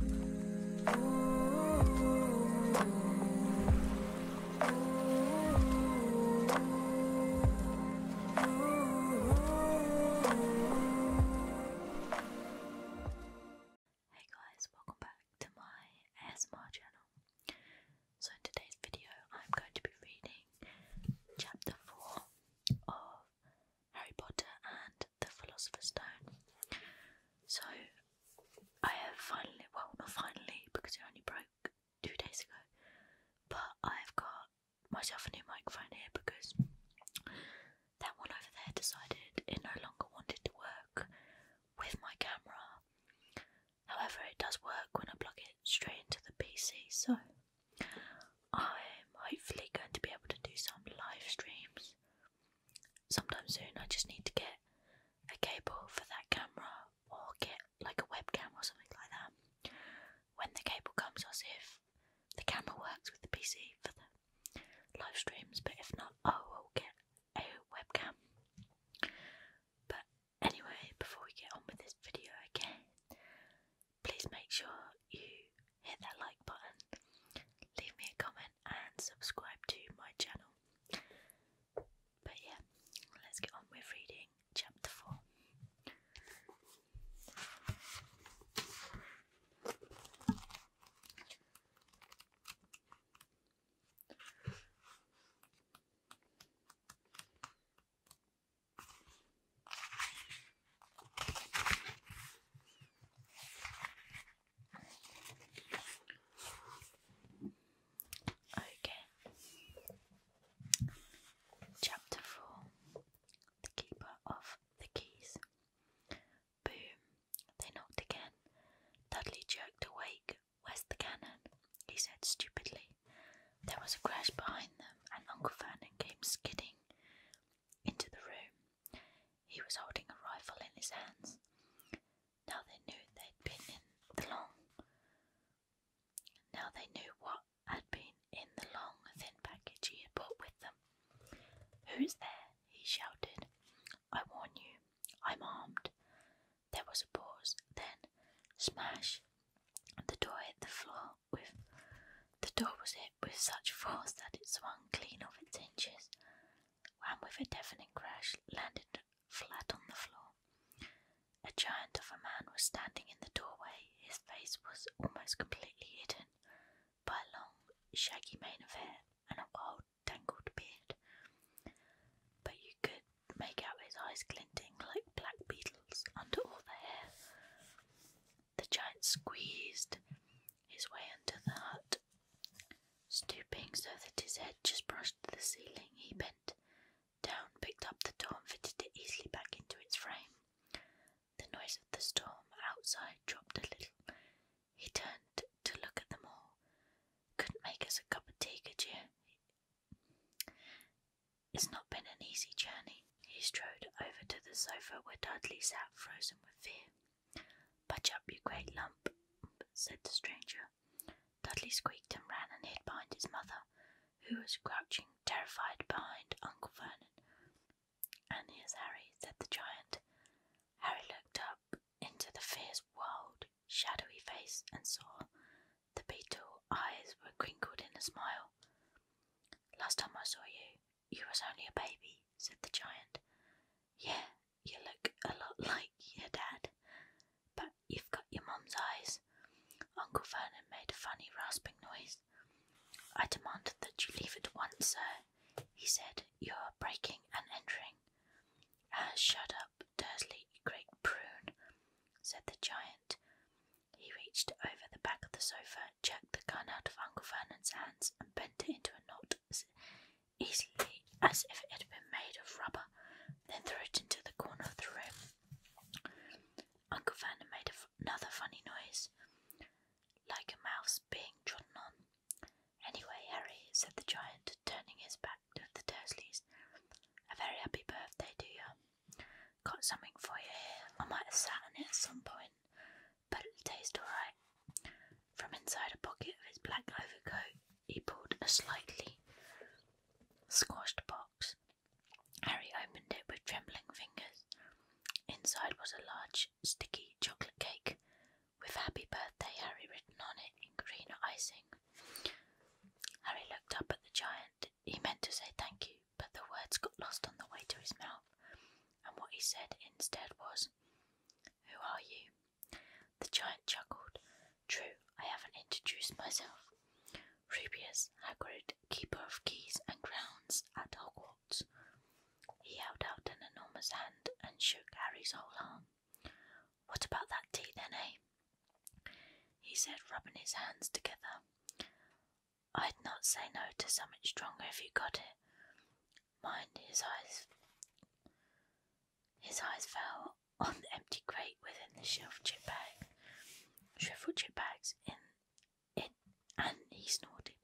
Hey guys, welcome back to my ASMR channel. So, in today's video, I'm going to be reading chapter 4 of Harry Potter and the Philosopher's Stone. So I have finally, well, not finally, because it only broke two days ago, but I've got myself a new microphone here because that one over there decided it no longer wanted to work with my camera. However, it does work when I plug it straight into the PC, so I'm hopefully going to be able to do some live streams sometime soon I just need to get a cable for that camera or get like a webcam or something like that. When the cable comes, I'll see if the camera works with the PC for the live streams, but if not, oh, I will get a webcam. But anyway, before we get on with this video again, please make sure you hit that like button, leave me a comment, and subscribe to my channel. But yeah, let's get on with reading chapter 4. Okay. Chapter 4 The Keeper of the Keys. Boom! They knocked again. Dudley jerked awake. Where's the cannon? he said stupidly. There was a crash behind them, and Uncle Vernon came skidding into the room. He was holding a rifle in his hands. Now they knew they'd been in the long. Now they knew what had been in the long, thin package he had brought with them. Who is there? he shouted. I warn you, I'm armed. There was a pause, then smash. The door hit the floor with the door was hit with such force that it swung clean off its hinges, and with a deafening crash landed flat on the floor. A giant of a man was standing in the doorway. His face was almost completely hidden by a long, shaggy mane of hair and a wild, tangled beard. But you could make out his eyes glinting like black beetles under all the hair. The giant squeezed his way into the hut. Stooping so that his head just brushed the ceiling, he bent down, picked up the door, and fitted it easily back into its frame. The noise of the storm outside dropped a little. He turned to look at them all. Couldn't make us a cup of tea, could you? It's not been an easy journey. He strode over to the sofa where Dudley sat frozen with fear. Put up, you great lump, said the stranger. Dudley squeaked and ran and hid behind his mother, who was crouching, terrified, behind Uncle Vernon. And here's Harry, said the giant. Harry looked up into the fierce, wild, shadowy face and saw the beetle eyes were crinkled in a smile. Last time I saw you, you was only a baby, said the giant. Yeah, you look a lot like your dad, but you've got your mum's eyes. Uncle Vernon made a funny rasping noise. I demand that you leave at once, sir. He said, You are breaking and entering. "As ah, shut up, Dursley, great prune, said the giant. He reached over the back of the sofa Oliver jerked the gun out of Uncle Vernon's hands and bent it into a knot as easily as if it had been made of rubber, then threw it into the corner of the room. Uncle Vernon made another funny noise, like a mouse being trodden on. Anyway, Harry, said the giant, turning his back to the Dursleys, a very happy birthday to you. Got something for you here. I might have sat on it at some point but it'll alright. From inside a pocket of his black overcoat, he pulled a slightly squashed box. Harry opened it with trembling fingers. Inside was a large, sticky chocolate cake with Happy Birthday Harry written on it in green icing. Harry looked up at the giant. He meant to say thank you, but the words got lost on the way to his mouth, and what he said instead was, Who are you? The giant chuckled. True, I haven't introduced myself. Rubius, Hagrid, keeper of keys and grounds at Hogwarts. He held out an enormous hand and shook Harry's whole arm. What about that tea then, eh? He said, rubbing his hands together. I'd not say no to something stronger if you got it. Mind his eyes. His eyes fell on the empty crate within the shriveled chip bag. Shriveled chip bags in it, and he snorted.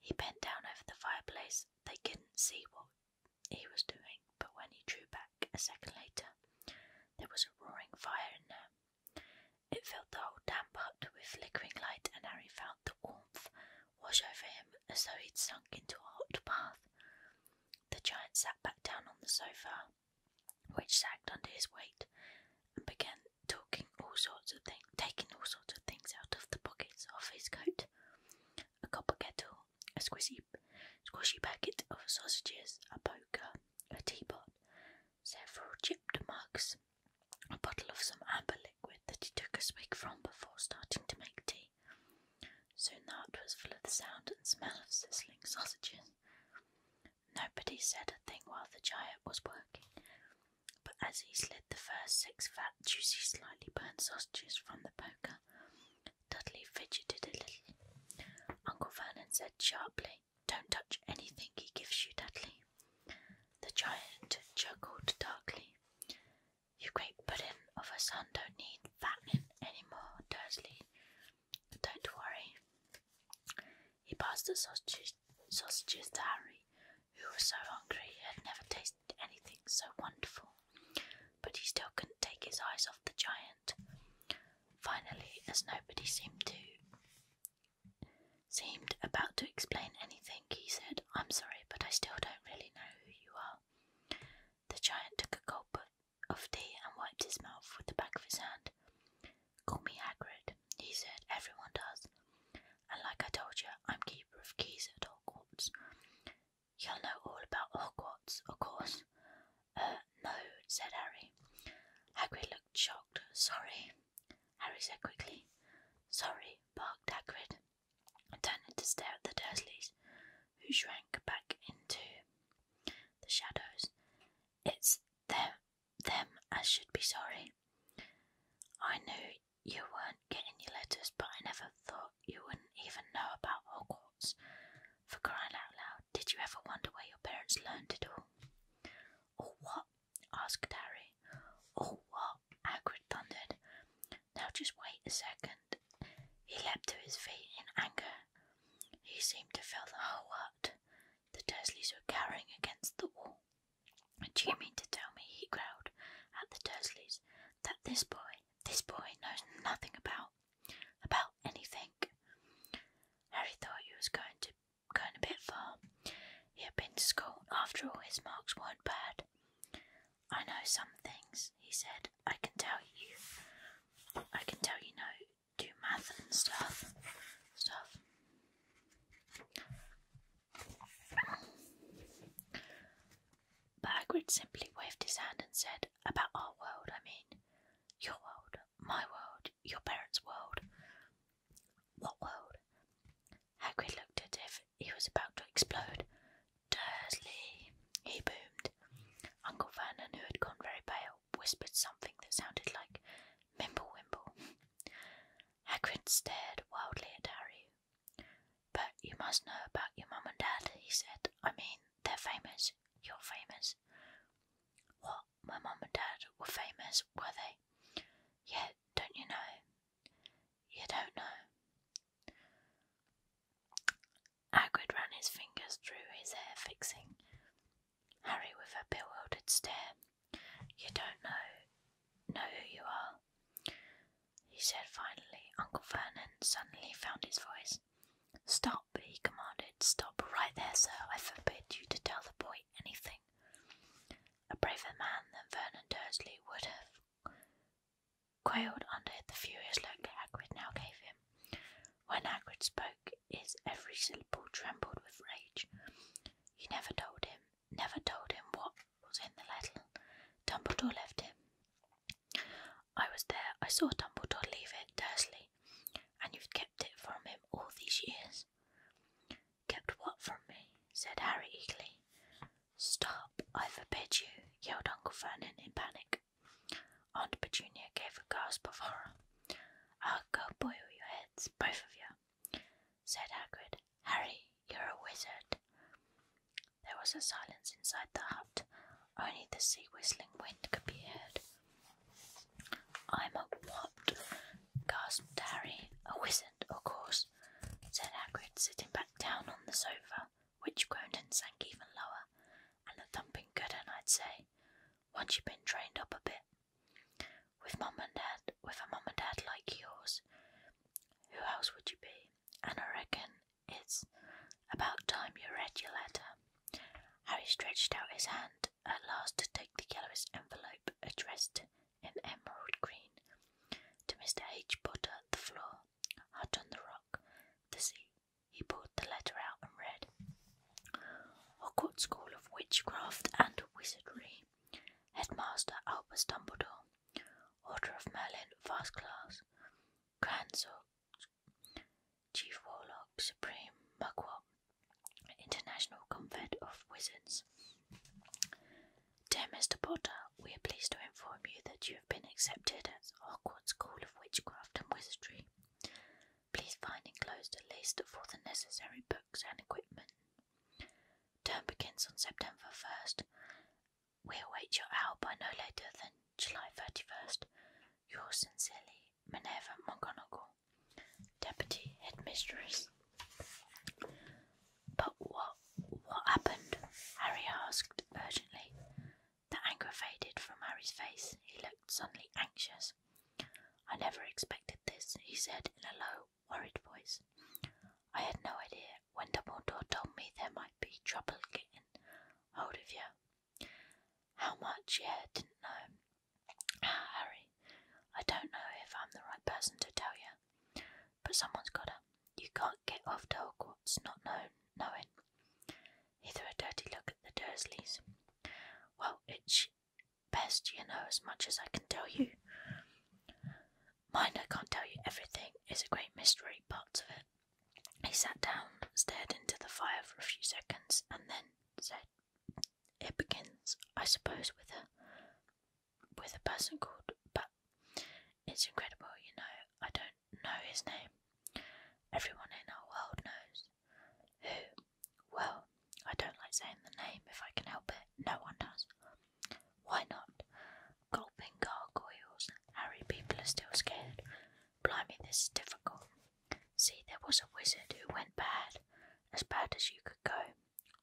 He bent down over the fireplace. They couldn't see what he was doing, but when he drew back a second later, there was a roaring fire in there. It filled the whole damp hut with flickering light, and Harry felt the warmth wash over him as though he'd sunk into a hot bath. The giant sat back down on the sofa, which sagged under his weight, and began talking all sorts of things, taking all sorts of things out of the pockets of his coat: a copper kettle, a squishy, squishy packet of sausages, a poker, a teapot, several chipped mugs, a bottle of some amber liquid that he took a swig from before starting to make tea. Soon the hut was full of the sound and smell of sizzling sausages. Nobody said a thing while the giant was working, but as he slid the first six fat, juicy, slightly burnt sausages from the poker, Dudley fidgeted a little. Uncle Vernon said sharply, don't touch anything he gives you, Dudley. The giant chuckled darkly. You great puddin' of a son don't need fattening any more, Dursley. Don't worry. He passed the sausage, sausages to Harry, who was so hungry he had never tasted anything so wonderful, but he still couldn't take his eyes off the giant. Finally, as nobody seemed to seemed about to explain anything, he said, I'm sorry, but I still don't really know who you are. The giant took a gulp of tea and wiped his mouth with the back of his hand. Call me Hagrid, he said, everyone does. And like I told you, I'm keeper of keys at Hogwarts. You'll know all about Hogwarts, of course. Uh, no, said Harry. Hagrid looked shocked. Sorry, Harry said quickly. Sorry, barked Hagrid, turning to stare at the Dursleys, who shrank back into the shadows. It's them, them as should be sorry. I knew you weren't getting your letters, but I never thought you wouldn't even know about Hogwarts. For crying out loud, did you ever wonder where your parents learned it all? Or what asked Harry. Oh, what? Hagrid thundered. Now just wait a second. He leapt to his feet in anger. He seemed to fill the whole hut. The Dursleys were cowering against the wall. Do you mean to tell me, he growled at the Dursleys, that this boy, this boy knows nothing about, about anything? Harry thought he was going to going a bit far. He had been to school, after all, his marks weren't bad. I know some things, he said. I can tell you. I can tell you know, do math and stuff. Stuff. Bagrid simply waved his hand and said, About our world, I mean. Your world, my world, your parents' world. What world? Hagrid looked as if he was about to explode. Dursley, he boomed. Uncle Vernon, who had gone very pale, whispered something that sounded like Mimble Wimble. Hagrid stared wildly at Harry. But you must know about your mum and dad, he said. I mean, they're famous. You're famous. What? my mum and dad were famous, were they? Yeah, don't you know? You don't know. Hagrid ran his fingers through his hair, fixing Harry with a bewildered stare. You don't know, know who you are, he said finally. Uncle Vernon suddenly found his voice. Stop, he commanded. Stop right there, sir. I forbid you to tell the boy anything. A braver man than Vernon Dursley would have quailed under the furious look Hagrid now gave him. When Hagrid spoke, his every syllable trembled with rage. He never told him, never told him what was in the letter. Dumbledore left him. I was there, I saw Dumbledore leave it, Dursley, and you've kept it from him all these years. Kept what from me? said Harry eagerly. Stop, I forbid you, yelled Uncle Vernon in panic. Aunt Petunia gave a gasp of horror. I'll go boil your heads, both of you, said Hagrid. Harry, you're a wizard. There was a silence inside the hut. Only the sea whistling wind could be heard. I'm a what? gasped Harry. A wizard, of course, said Hagrid, sitting back down on the sofa, which groaned and sank even lower, and a thumping good un, I'd say, once you've been trained up a bit. With mum and dad, with a mum and dad like yours, who else would you be? And I reckon it's about time you read your letter. Harry stretched out his hand at last to take the yellowest envelope addressed in emerald green to Mr. H. Potter, the floor, hut on the rock, the sea. He pulled the letter out and read Hogwarts School of Witchcraft and Wizardry, Headmaster Albus Dumbledore, Order of Merlin, First Class, Grand Sorcerer, Chief Warlock, Supreme Mugwort, International Convent of Wizards. Dear Mr. Potter, we are pleased to inform you that you have been accepted at Hogwarts School of Witchcraft and Wizardry. Please find enclosed a list for the necessary books and equipment. Term begins on September 1st. We await your owl by no later than July 31st. Yours sincerely, Minerva McGonagall deputy headmistress. But what what happened? Harry asked urgently. The anger faded from Harry's face. He looked suddenly anxious. I never expected this, he said in a low, worried voice. I had no idea when Dumbledore told me there might be trouble getting hold of you. How much, yeah, didn't know. Harry, I don't know if I'm the right person to tell you, but someone's got a You can't get off to Hogwarts not known, knowing. He threw a dirty look at the Dursleys. Well, it's best you know as much as I can tell you. Mind I can't tell you everything, it's a great mystery, parts of it. He sat down, stared into the fire for a few seconds, and then said, it begins, I suppose, with a with a person called but it's incredible, you know, I don't know his name. Everyone in our world knows. Who? Well, I don't like saying the name if I can help it. No one does. Why not? Gulping gargoyles. Harry, people are still scared. Blimey, this is difficult. See, there was a wizard who went bad, as bad as you could go.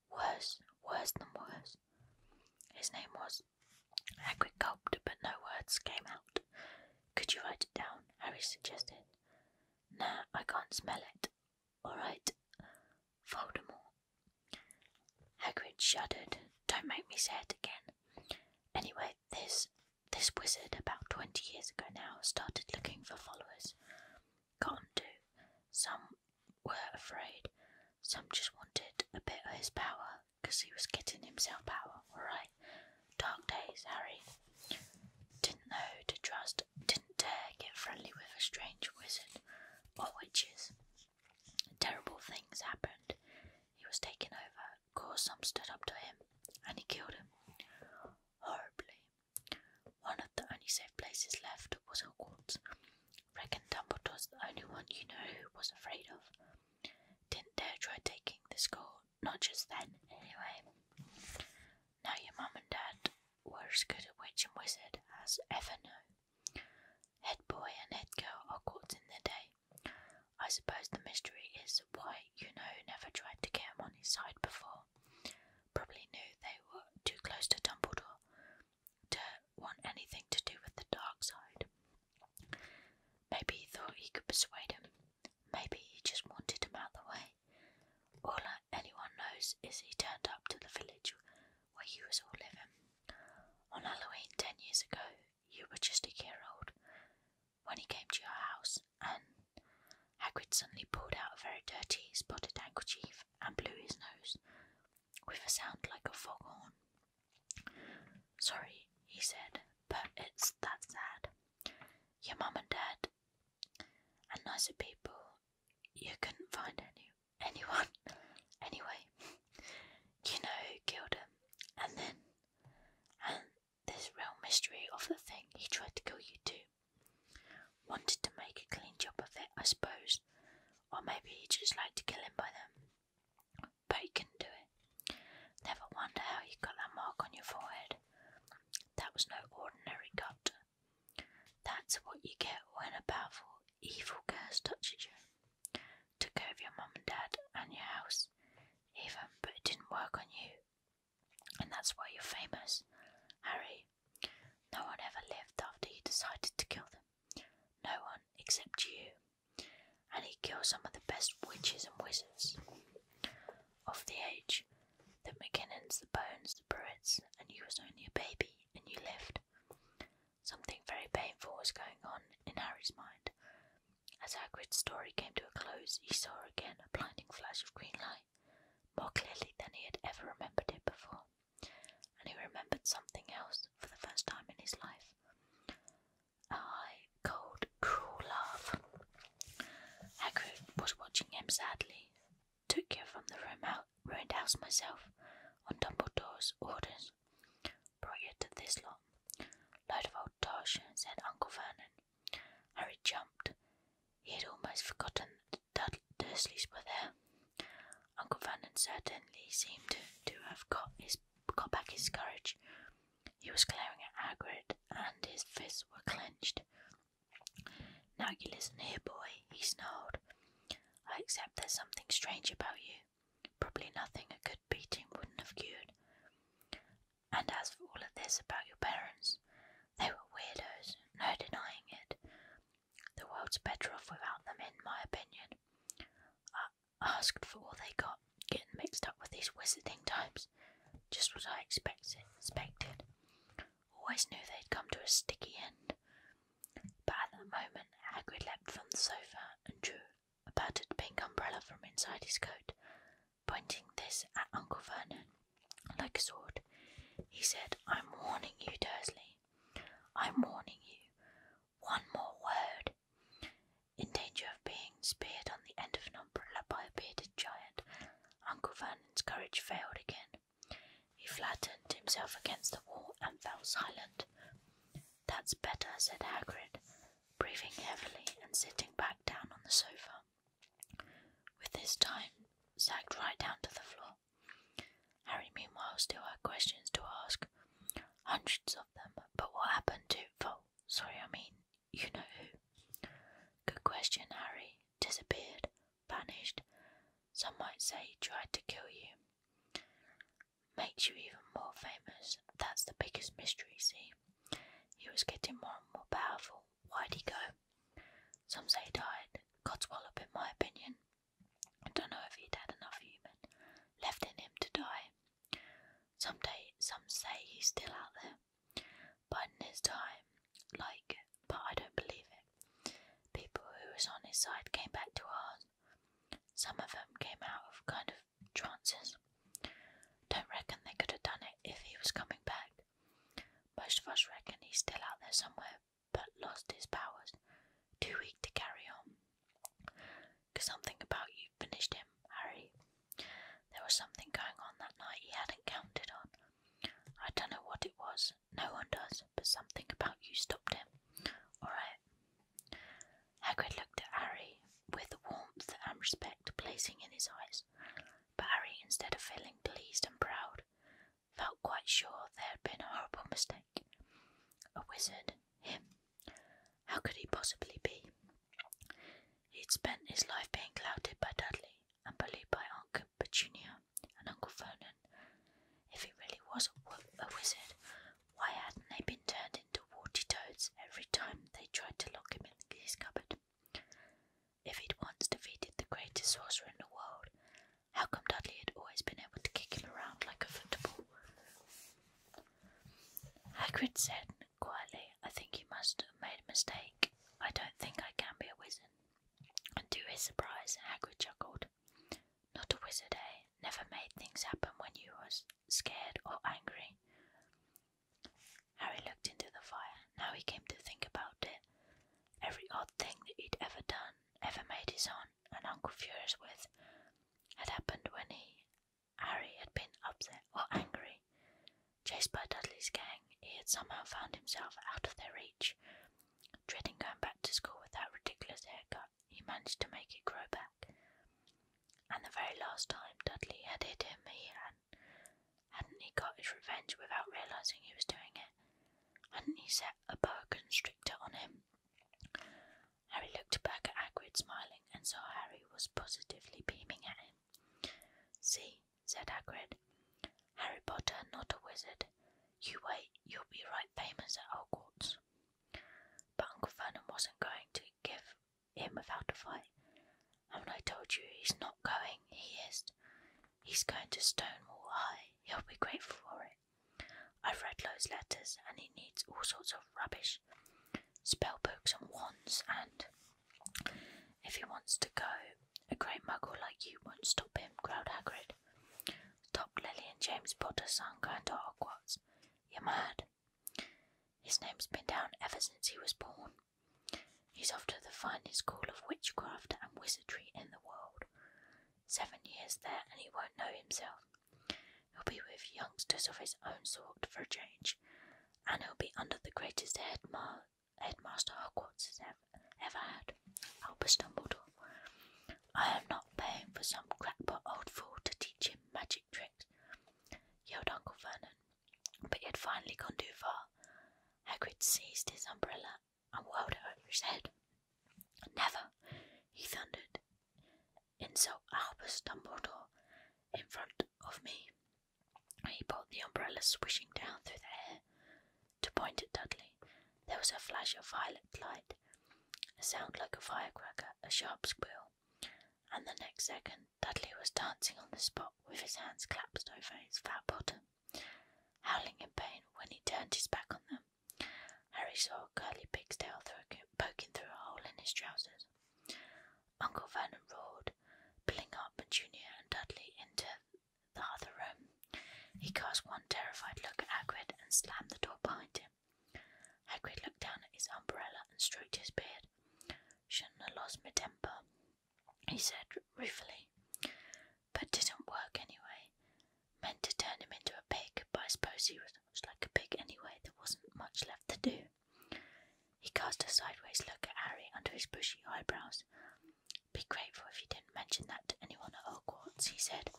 Worse, worse than worse. His name was. Hagrid gulped, but no words came out. Could you write it down? Harry suggested. Nah, I can't smell it. Alright. Voldemort. Hagrid shuddered. Don't make me say it again. Anyway, this this wizard, about twenty years ago now, started looking for followers. Got him too. Some were afraid, some just wanted a bit of his power, because he was getting himself power, alright? Dark days, Harry. Didn't know to trust, didn't dare get friendly with a strange wizard or witches. Terrible things happened. He was taken over, of course, some stood up to him, and he killed him. Horribly. One of the only safe places left was Hogwarts. Reckon Dumbledore's the only one you know who was afraid of. Didn't dare try taking the school, not just then, anyway. Now your mum and dad were as good a witch and wizard as ever knew. Head boy and head girl are caught in their day. I suppose the mystery is why you know never tried to get him on his side before. Probably knew they were too close to Dumbledore to want anything to do with the dark side. Maybe he thought he could persuade him. Maybe he just wanted him out of the way. All anyone knows is he turned up to the village where you was all living. On Halloween ten years ago, you were just a year old when he came to your house, and Hagrid suddenly pulled out a very dirty, spotted handkerchief and blew his nose with a sound like a foghorn. Sorry, he said, but it's that sad. Your mum and dad and nicer people, you couldn't find any anyone. anyway, you know who killed him, and then and this real mystery of the thing he tried to kill you too. Wanted to make a clean job of it, I suppose. Or maybe he just liked to kill him by them. But he couldn't do it. Never wonder how you got that mark on your forehead. That was no ordinary cut. That's what you get when a powerful, evil curse touches you. Took over your mum and dad and your house, even, but it didn't work on you. And that's why you're famous, Harry. No one ever lived after you decided to kill them. No one except you. And he killed some of the best witches and wizards of the age the McKinnons, the Bones, the Pruitts, and you was only a baby and you lived. Something very painful was going on in Harry's mind, as Hagrid's story came to a close, he saw again a blinding flash of green light, more clearly than he had ever remembered it before, and he remembered something else for the first time in his life. I cold, cruel love. Hagrid was watching him sadly. Took you from the room out, ruined house myself, on Dumbledore's orders. Brought you to this lot. Load of old tosh, said Uncle Vernon, Harry jumped. He had almost forgotten that Dursleys were there. Uncle Vernon certainly seemed to have got his got back his courage. He was glaring at Hagrid, and his fists were clenched. Now you listen here, boy, he snarled. I accept there's something strange about you. Probably nothing a good beating wouldn't have cured. And as for all of this about your parents, they were weirdos, no denying it. The world's better off without them, in my opinion. I asked for all they got, getting mixed up with these wizarding types. Just what I expected. expected. Always knew they'd come to a sticky end. But at that moment, Hagrid leapt from the sofa and drew a battered pink umbrella from inside his coat pointing this at Uncle Vernon like a sword. He said, I'm warning you, Dursley. I'm warning you. One more word. In danger of being speared on the end of an umbrella by a bearded giant, Uncle Vernon's courage failed again. He flattened himself against the wall and fell silent. That's better, said Hagrid, breathing heavily and sitting back down on the sofa. With this time sagged right down to the floor. Harry, meanwhile, still had questions to ask. Hundreds of them, but what happened to Vol? Sorry, I mean, you know who? Good question, Harry. Disappeared, vanished. Some might say tried to kill you. Makes you even more famous. That's the biggest mystery, see? He was getting more and more powerful. Why'd he go? Some say he died. Codswallop, in my opinion. I don't know if he'd had enough human left in him to die. Some day, some say he's still out there, but in his time, like, but I don't believe it. People who was on his side came back to us. Some of them came out of kind of Chances. Don't reckon they could have done it if he was coming back. Most of us reckon he's still out there somewhere, but lost his powers, too weak to carry on. Cause something about you finished him, Harry. There was something going on that night he hadn't counted on. I don't know what it was, no one does, but something about you stopped him. Alright. Hagrid looked at Harry with the warmth and respect blazing in his eyes. But Harry, instead of feeling pleased and proud, felt quite sure there had been a horrible mistake. A wizard, him. How could he possibly be? He'd spent his life being clouted by Dudley and bullied by Aunt Petunia and Uncle Vernon. If he really was a wizard, why hadn't they been turned into warty toads every time they tried to lock him his cupboard. If he'd once defeated the greatest sorcerer in the world, how come Dudley had always been able to kick him around like a football? Hagrid said quietly, I think you must have made a mistake. I don't think I can be a wizard. And to his surprise, Hagrid chuckled. Not a wizard, eh? Never made things happen when you was scared, or angry. Harry looked into the fire. Now he came to think about it. Every odd thing that he'd ever done, ever made his aunt and uncle furious with, had happened when he, Harry, had been upset or angry. Chased by Dudley's gang, he had somehow found himself out of their reach. Dreading going back to school with that ridiculous haircut, he managed to make it grow back. And the very last time Dudley had hit him, he hadn't, he got his revenge without realizing he was doing it? Hadn't he set a boa constrictor on him? Harry looked back at Hagrid, smiling, and saw Harry was positively beaming at him. See, said Hagrid, Harry Potter, not a wizard. You wait, you'll be right famous at Hogwarts. But Uncle Vernon wasn't going to give him without a fight. Haven't I told you he's not going? He is. He's going to Stonewall High. He'll be grateful for it. I've read Lowe's letters, and he needs all sorts of rubbish spell books and wands, and if he wants to go, a great muggle like you won't stop him, growled Hagrid. Stop Lily and James Potter, son, going to Hogwarts. You're mad. His name's been down ever since he was born. He's off to the finest school of witchcraft and wizardry in the world. Seven years there, and he won't know himself. He'll be with youngsters of his own sort for a change, and he'll be under the greatest headma- headmaster Hogwarts has ever, ever had, Albus Dumbledore. I am not paying for some crackpot old fool to teach him magic tricks, yelled Uncle Vernon but he had finally gone too far. Hagrid seized his umbrella and whirled it over his head. Never, he thundered, And so Albus Dumbledore in front of me. He brought the umbrella swishing down through the air to point at Dudley. There was a flash of violet light, a sound like a firecracker, a sharp squeal and the next second Dudley was dancing on the spot with his hands clasped over his fat bottom, howling in pain when he turned his back on them. Harry saw Curly Pig's tail through, poking through a hole in his trousers. Uncle Vernon roared, pulling up Junior and Dudley into the other room. He cast one terrified look at Agreed and slammed the door behind him. Agreed looked down at his umbrella and stroked his beard. Shouldn't have lost my temper, he said ruefully. But didn't work anyway. Meant to turn him into a pig, but I suppose he was like a pig anyway, there wasn't much left to do. He cast a sideways look at Harry under his bushy eyebrows. Be grateful if you didn't mention that to anyone at Hogwarts, he said.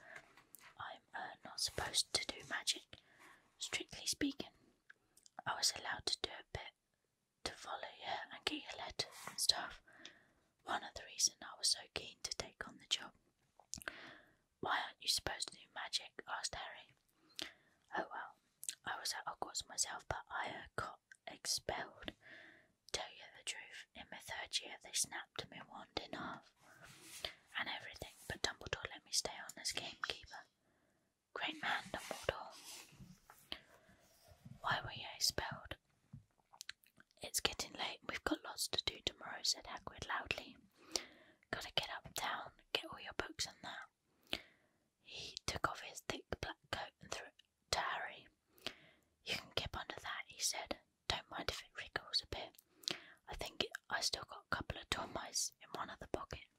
I'm uh, not supposed to do magic, strictly speaking. I was allowed to do a bit to follow you and get your letters and stuff. One of the reasons I was so keen to take on the job. Why aren't you supposed to do magic? asked Harry. Oh well, I was at Hogwarts myself, but I got expelled. Tell you the truth, in my third year they snapped my wand in half and everything, but Dumbledore let me stay on as gamekeeper. Great man, the Dumbledore. Why were you expelled? It's getting late and we've got lots to do tomorrow, said Hagrid loudly. Gotta get up, down, get all your books and that. He took off his thick black coat and threw it to Harry. You can keep under that, he said. Don't mind if it wriggles a bit. I think I still got a couple of dormice in one of the pockets.